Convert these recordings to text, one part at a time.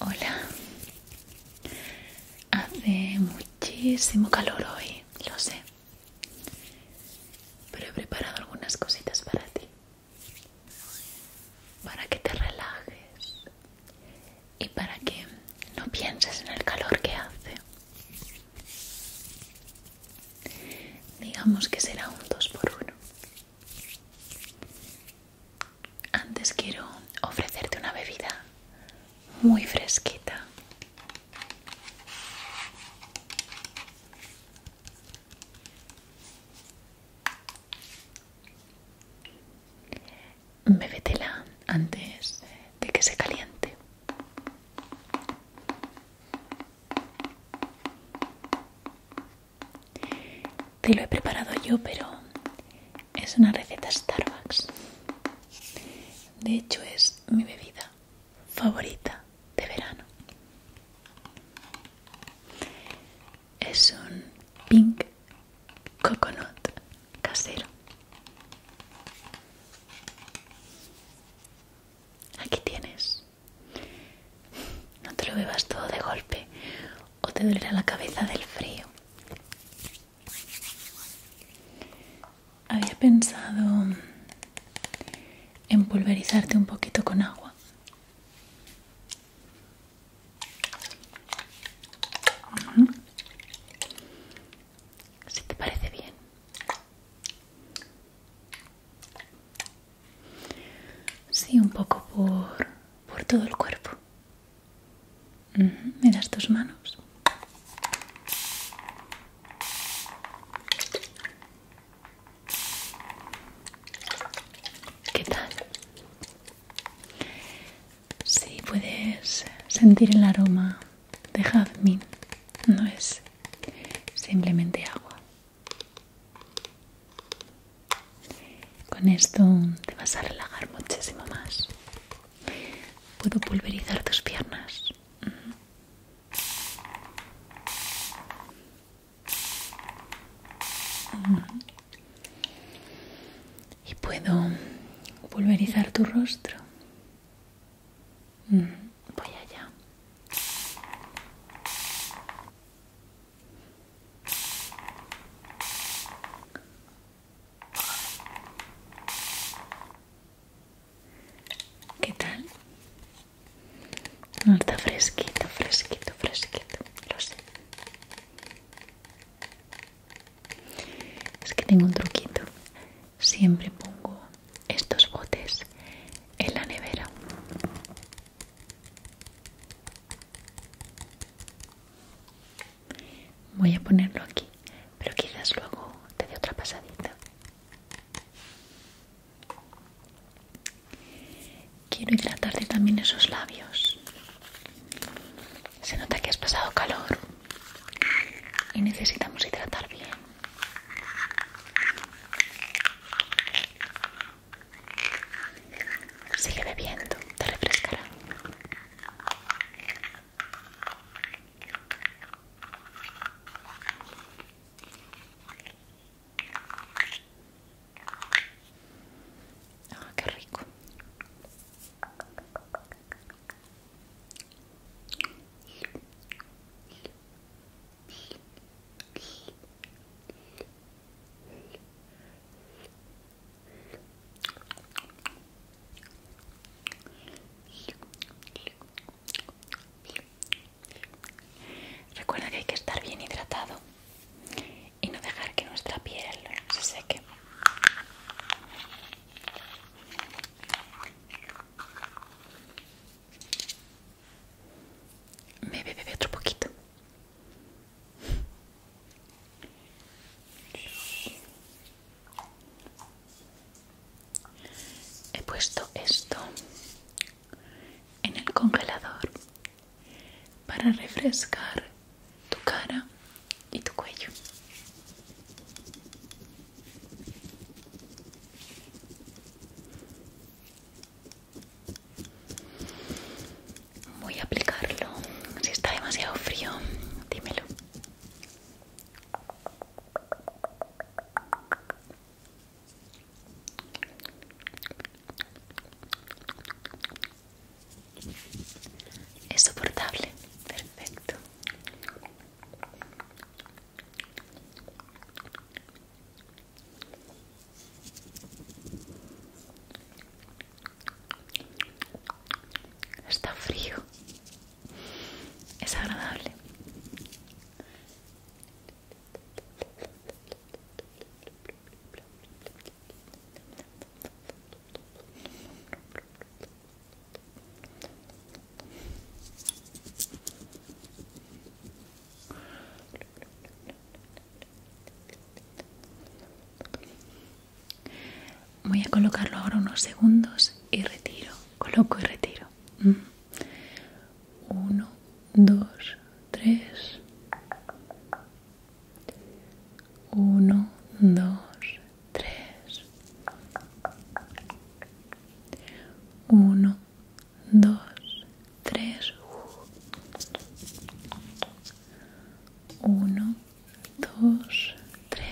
Hola, hace muchísimo calor hoy, lo sé, pero he preparado algunas cositas para ti, para que te relajes y para que no pienses en el calor que hace. Digamos que será un dos por 1 antes quiero ofrecerte una bebida muy fresquita. Bébetela antes de que se caliente. Te lo he preparado yo, pero es una receta Starbucks. De hecho, es mi bebida favorita de verano. Es un pink coconut casero. Aquí tienes. No te lo bebas todo de golpe o te dolerá la cabeza del frío. Había pensado en pulverizarte un poquito con agua. Si te parece bien. Sí, un poco por todo el cuerpo. Me das tus manos. ¿Qué tal? Sí, puedes sentir el aroma de jazmín. No es simplemente agua. Con esto te vas a relajar muchísimo más. Puedo pulverizar tus piernas. Y puedo pulverizar tu rostro. Voy allá. ¿Qué tal? No está fresquito, fresquito, fresquito, lo sé. Es que tengo un truquito. Siempre pongo estos botes en la nevera. Voy a ponerlo aquí, pero quizás luego te dé otra pasadita. Quiero hidratarte también esos labios. Se nota que has pasado calor y necesitamos hidratar bien. Sigue bebiendo, te refrescará. Ah, qué rico. Recuerda que hay que estar bien hidratado y no dejar que nuestra piel se seque. Me bebe otro poquito. He puesto esto en el congelador para refrescar tu cara y tu cuello voy a aplicarlo. Si está demasiado frío, dímelo. Es soportable, perfecto. Está frío. Es agradable. Voy a colocarlo ahora unos segundos y retiro, coloco y retiro. 1, 2, 3. 1, 2, 3. 1, 2, 3. 1, 2, 3,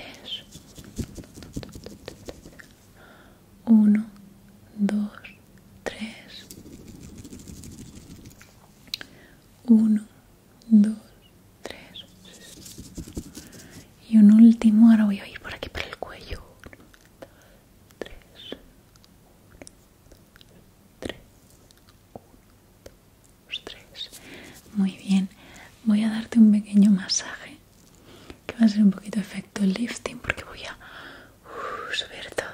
1, 2, 3, 1, 2, 3 y un último, ahora voy a ir por aquí por el cuello muy bien. Voy a darte un pequeño masaje que va a ser un poquito efecto lifting porque voy a uh, subir todo.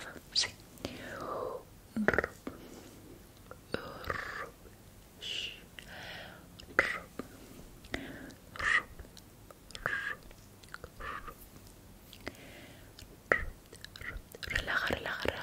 relaja, relaja,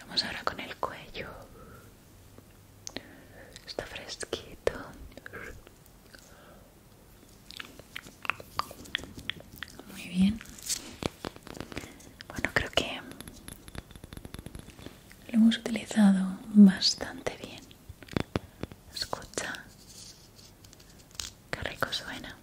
Vamos ahora con el cuello. Está fresquito. Muy bien. Bueno, creo que lo hemos utilizado bastante bien. Escucha. Qué rico suena.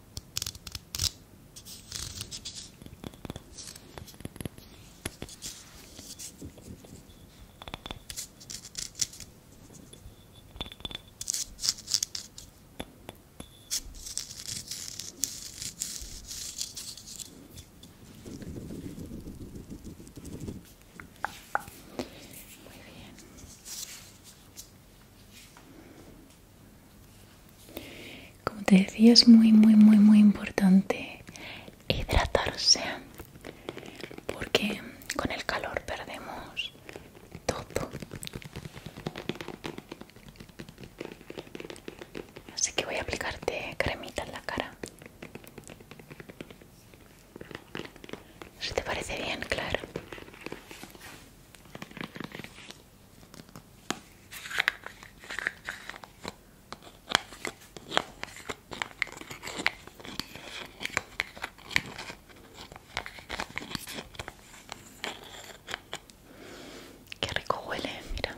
Muy bien. Como te decía, es muy, muy, muy, muy importante hidratarse porque con el calor perdemos todo. Así que voy a aplicarte cremita en la cara. ¿Se te parece bien, claro? Qué rico huele, mira.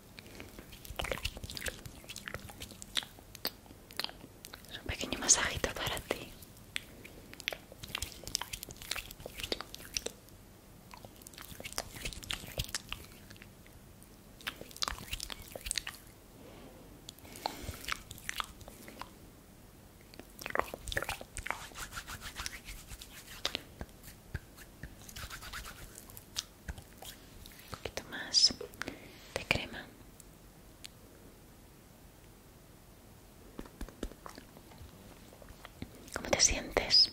un pequeño masajito para ti un poquito más de crema ¿Cómo te sientes?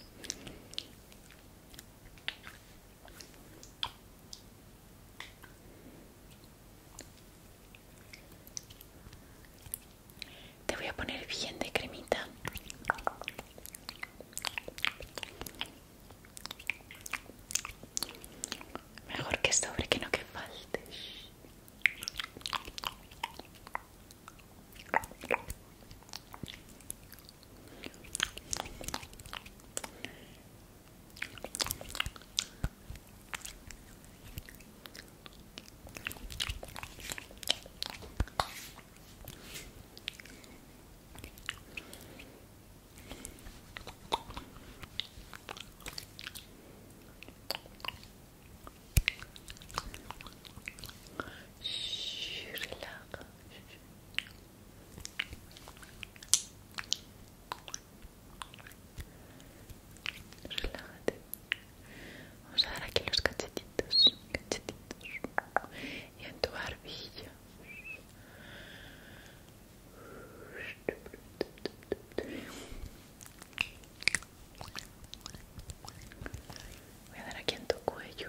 Te voy a poner bien de cremita Mejor que sobre que no que falte. Shh, Relájate. Vamos a dar aquí los cachetitos, cachetitos. Y en tu barbilla. Voy a dar aquí en tu cuello.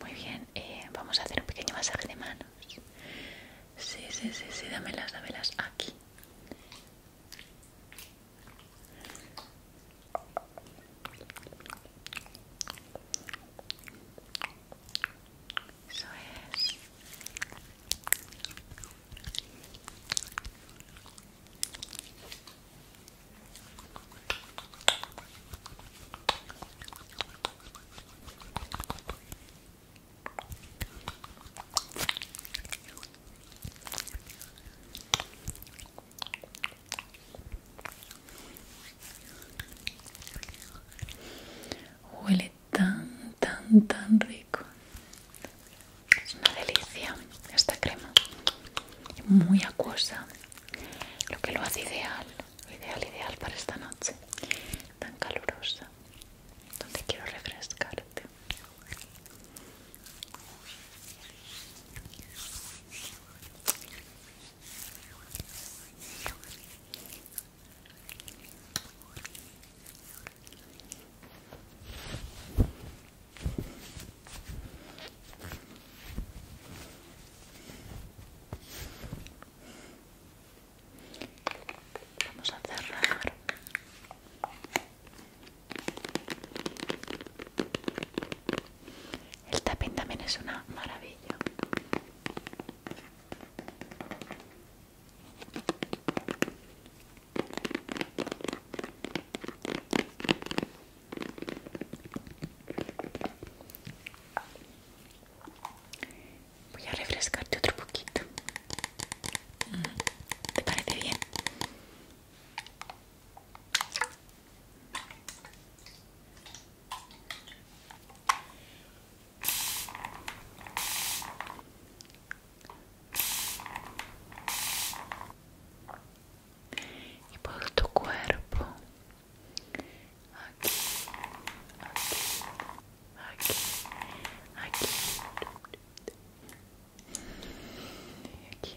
Muy bien, eh, vamos a hacer un pequeño masaje de manos. Sí, sí, sí, sí, dámelas, dámelas aquí. Huele tan, tan, tan rico. Es una delicia esta crema. Muy acuosa lo que lo hace ideal, ideal, ideal para esta noche tan calurosa, donde quiero refrescarte. Vamos a cerrar. El tapín también es una maravilla. Voy a refrescarte otro poquito. ¿Te parece bien? y por tu cuerpo aquí aquí aquí aquí aquí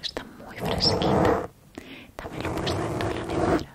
Está muy fresquita. También lo he puesto dentro de la nevera.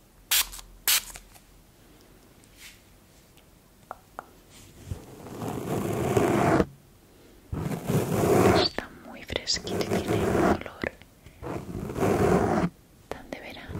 Está muy fresquito y tiene un olor tan de verano.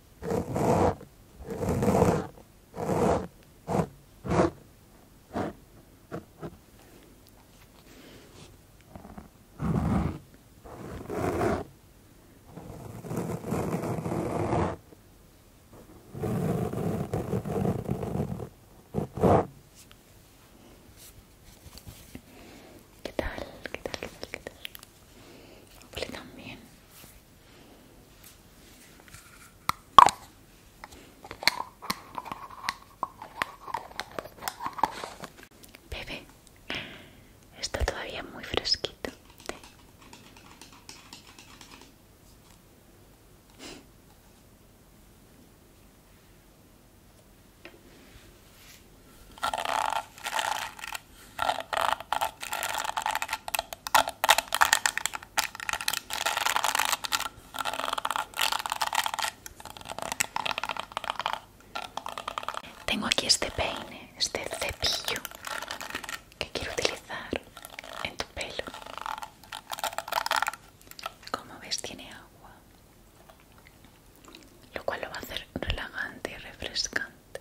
¿Qué tal? ¿Qué tal? ¿Qué tal? ¿Qué tal? Huele también Bebé, está todavía muy fresquito. Tengo aquí este peine, este cepillo que quiero utilizar en tu pelo. Como ves tiene agua, lo cual lo va a hacer relajante y refrescante.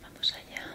Vamos allá.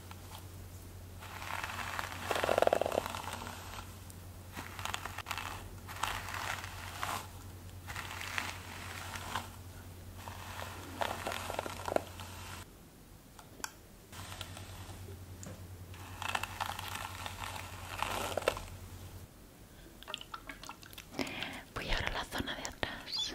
Voy ahora a la zona de atrás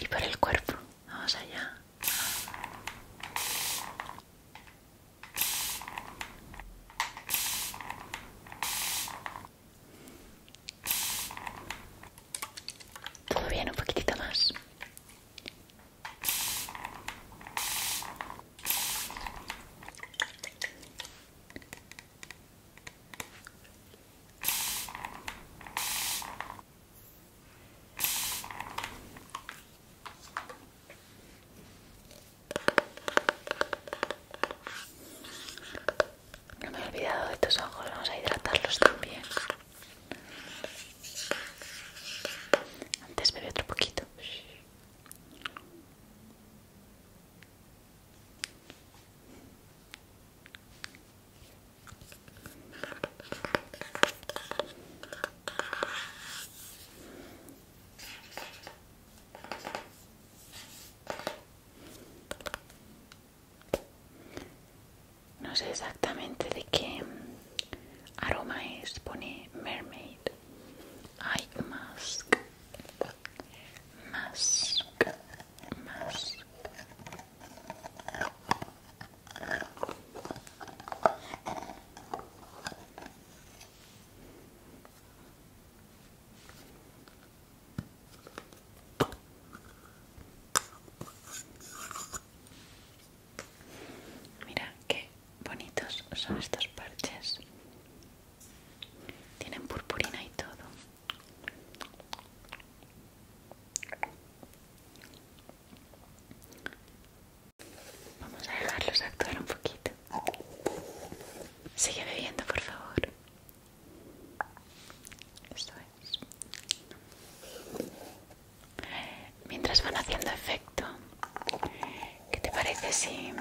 Y por el cuerpo, vamos allá. Todo bien, un poquitito más. No me he olvidado de estos ojos, vamos a hidratarlos también. Antes bebí otro poquito. No sé exactamente de qué aroma es, pone mermaid. eye mask más, Mira qué bonitos son estos parches. Tienen purpurina y todo. Vamos a dejarlos actuar un poquito. Sigue bebiendo, por favor. Eso es. Mientras van haciendo efecto, ¿qué te parece si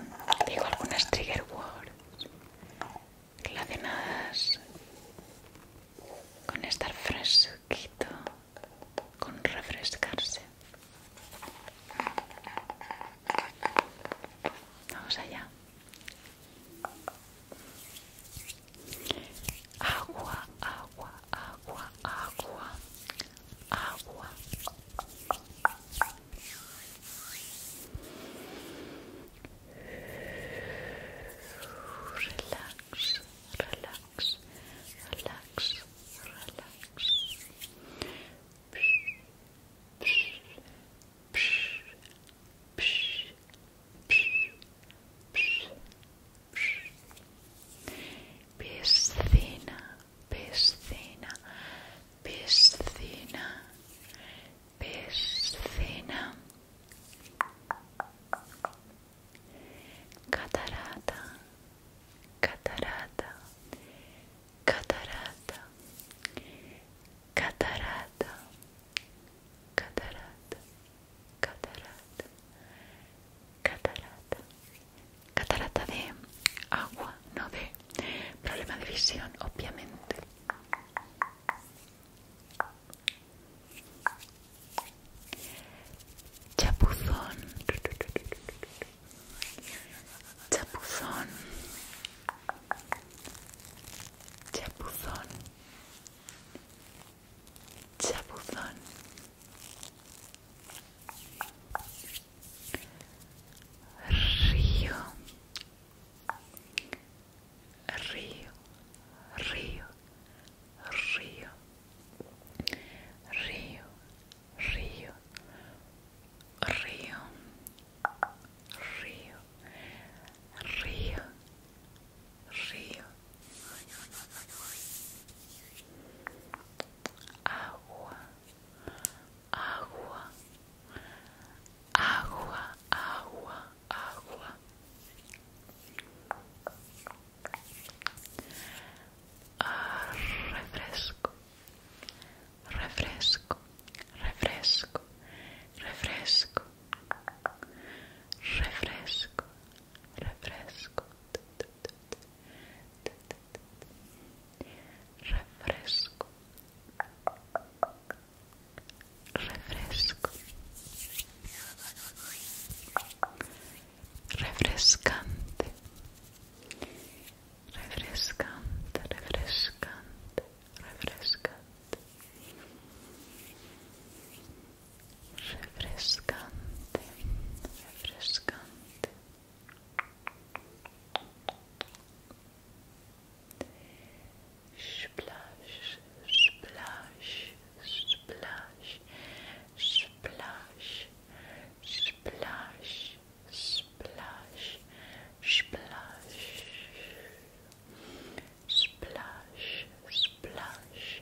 digo algunas trigger words relacionadas con estar fresquito, con refrescarse. Vamos allá. Agua, agua, agua, agua, agua. Relax, relax, relax, relax. Psh, psh, psh, psh, psh, psh, psh. Piscina, piscina, piscina, Piscina, catarata, catarata, catarata, catarata, catarata, catarata, catarata, catarata de agua, no de problema de visión, obviamente. Chapuzón. Chapuzón. Chapuzón. Chapuzón. Río río, río, río, río, río, río, río, río, río, agua, agua, agua, agua, agua. Ah, refresco, refresco, refresco, refresco, refresco, refresco. Refresco, refresco refrescante refrescante refrescante refrescante refrescante refrescante Splash, splash, splash, splash, splash, splash, splash. Splash, splash, splash.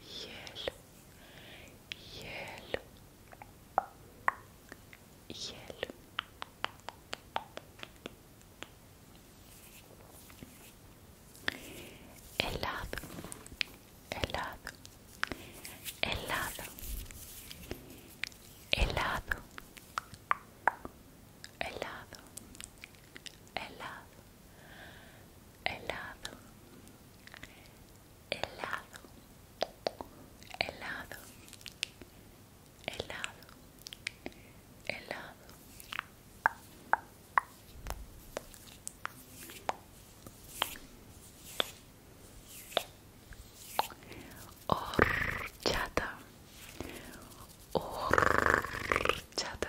hielo, hielo, hielo. Helado, helado, helado, helado, helado, helado, helado, helado, helado, helado, helado. Horchata, chata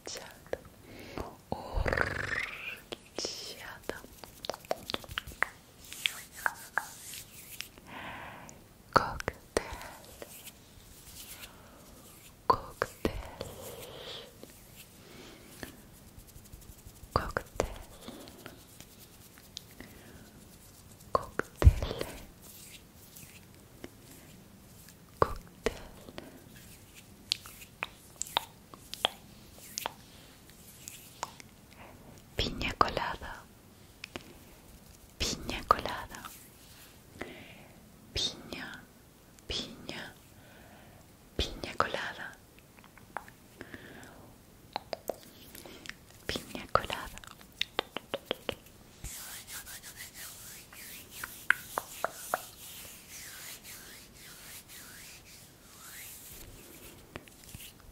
Orchata. Cocktail. Cocktail. Cocktail. Cocktail. Cocktail. Piña colada, piña colada, piña, piña, piña colada, piña colada.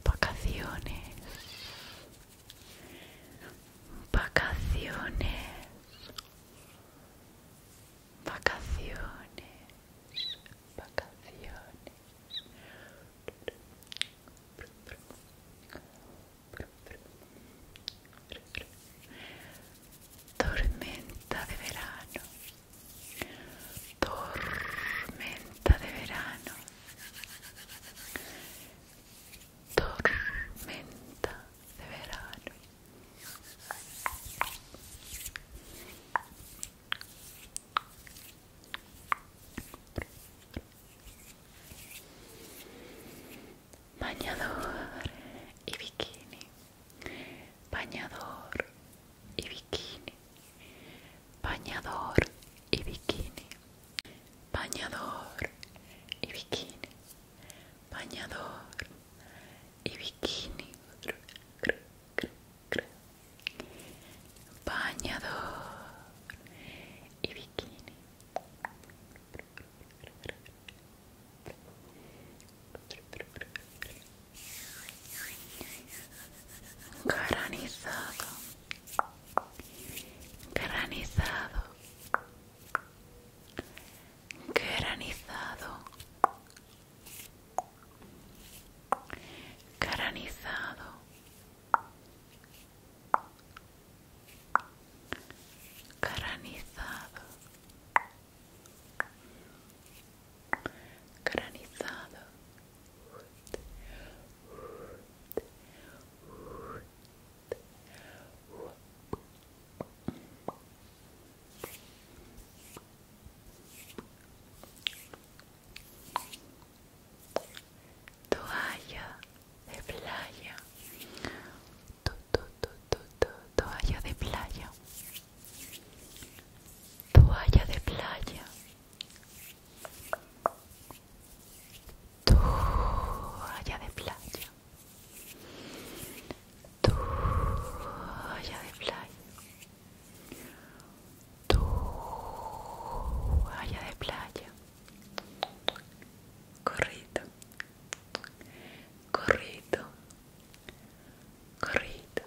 Vacaciones. Vacaciones. Vacaciones. Vacaciones. Tormenta de verano tormenta de verano, tormenta de verano. Bañador y bikini bañador y bikini, bañador y bikini, bañador y bikini, bañador y bikini, bañador y bikini. Granizado. Granizado. Granizado. Granizado. Granizado granizado toalla de playa toalla de playa toalla de playa, toalla de playa, toalla de playa, toalla de playa, corrido, corrido, corrido.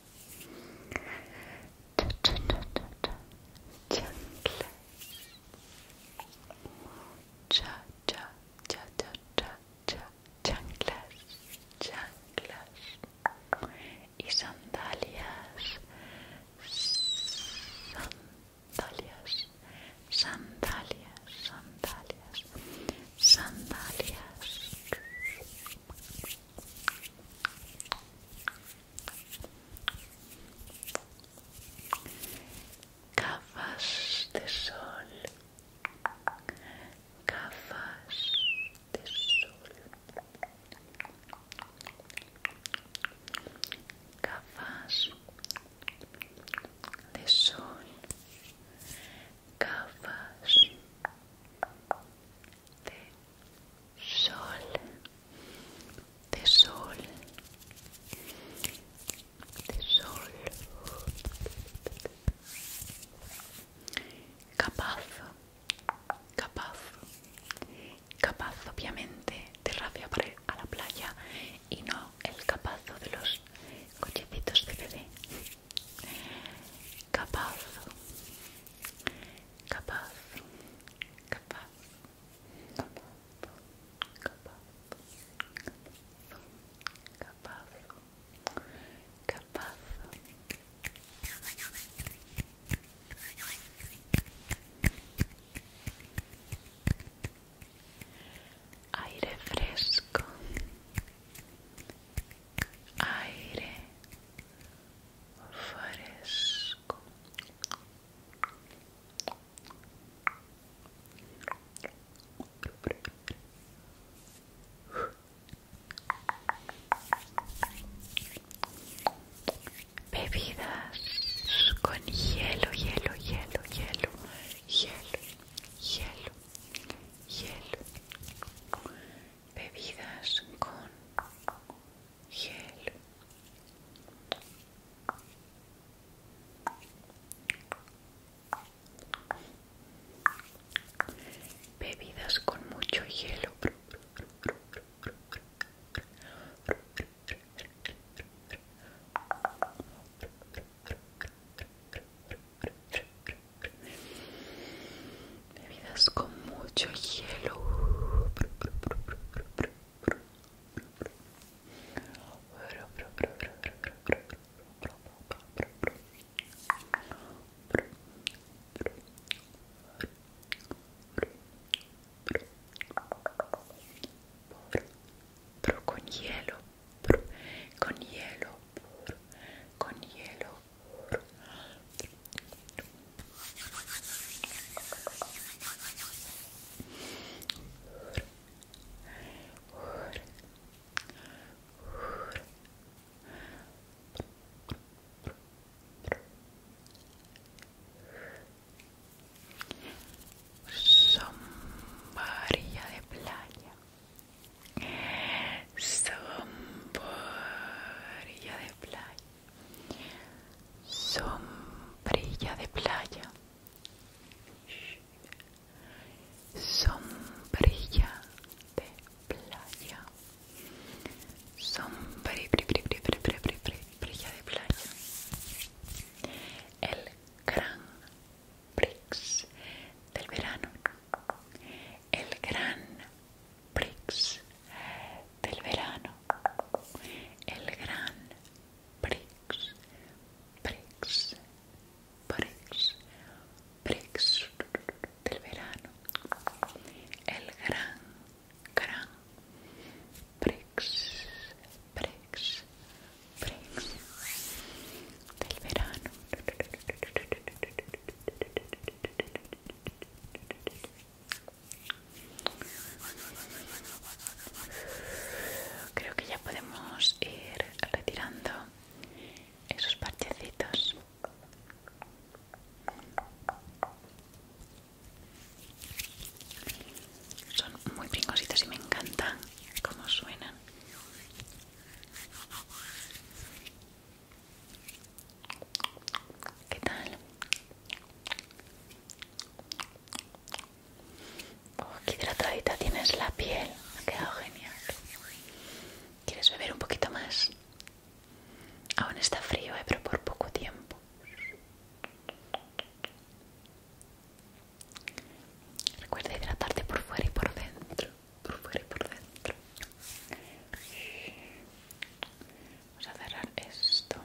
chanclas, changlas y sandalias, sandalias, sandalias, sandalias, sandalias. Gafas de sol, gafas de sol, gafas de sol, gafas de sol, de sol, de sol, capaz, capaz, capaz obviamente de rabia para a la playa y no el capazo de los cochecitos de bebé. Capazo, capaz, capaz, capaz, capaz, capaz, capaz. Aire fresco, aire fresco bebidas con hielo hielo hielo hielo hielo hielo hielo bebidas con hielo Bebidas con mucho hielo bebidas con mucho hielo pero con hielo con hielo con hielo Sombrilla de playa. Sombrilla de playa sombrilla de playa, sombrilla de playa, sombrilla de playa, el gran Prix del verano, el gran Prix del verano. El gran Prix, Prix, Prix, Prix del verano. El gran, gran Prix, Prix, Prix del verano. Creo que ya podemos ir retirando esos parchecitos. Son muy pingositos y me encantan cómo suenan. ¿Qué tal? Oh, qué hidratadita tienes la piel. Ha quedado genial. ¿Quieres beber un poquito más? Aún está frío, eh, pero por poco tiempo. Recuerda hidratarte por fuera y por dentro. Por fuera y por dentro. Vamos a cerrar esto.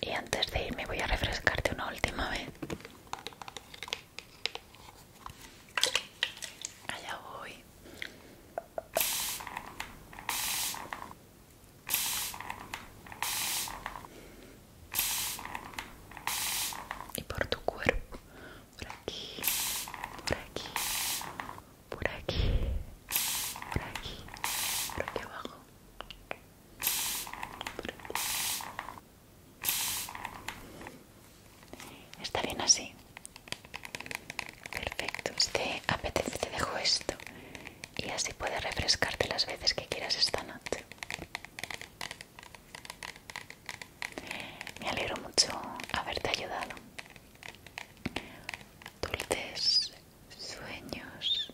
Y antes de irme voy a refrescarte una última vez Allá voy. Y por tu cuerpo, por aquí, por aquí, por aquí, por aquí, por aquí abajo, por aquí, Está bien así. Perfecto. Si te apetece te dejo esto y así puedes refrescarte las veces que quieras esta noche. Me alegro mucho haberte ayudado. Dulces sueños.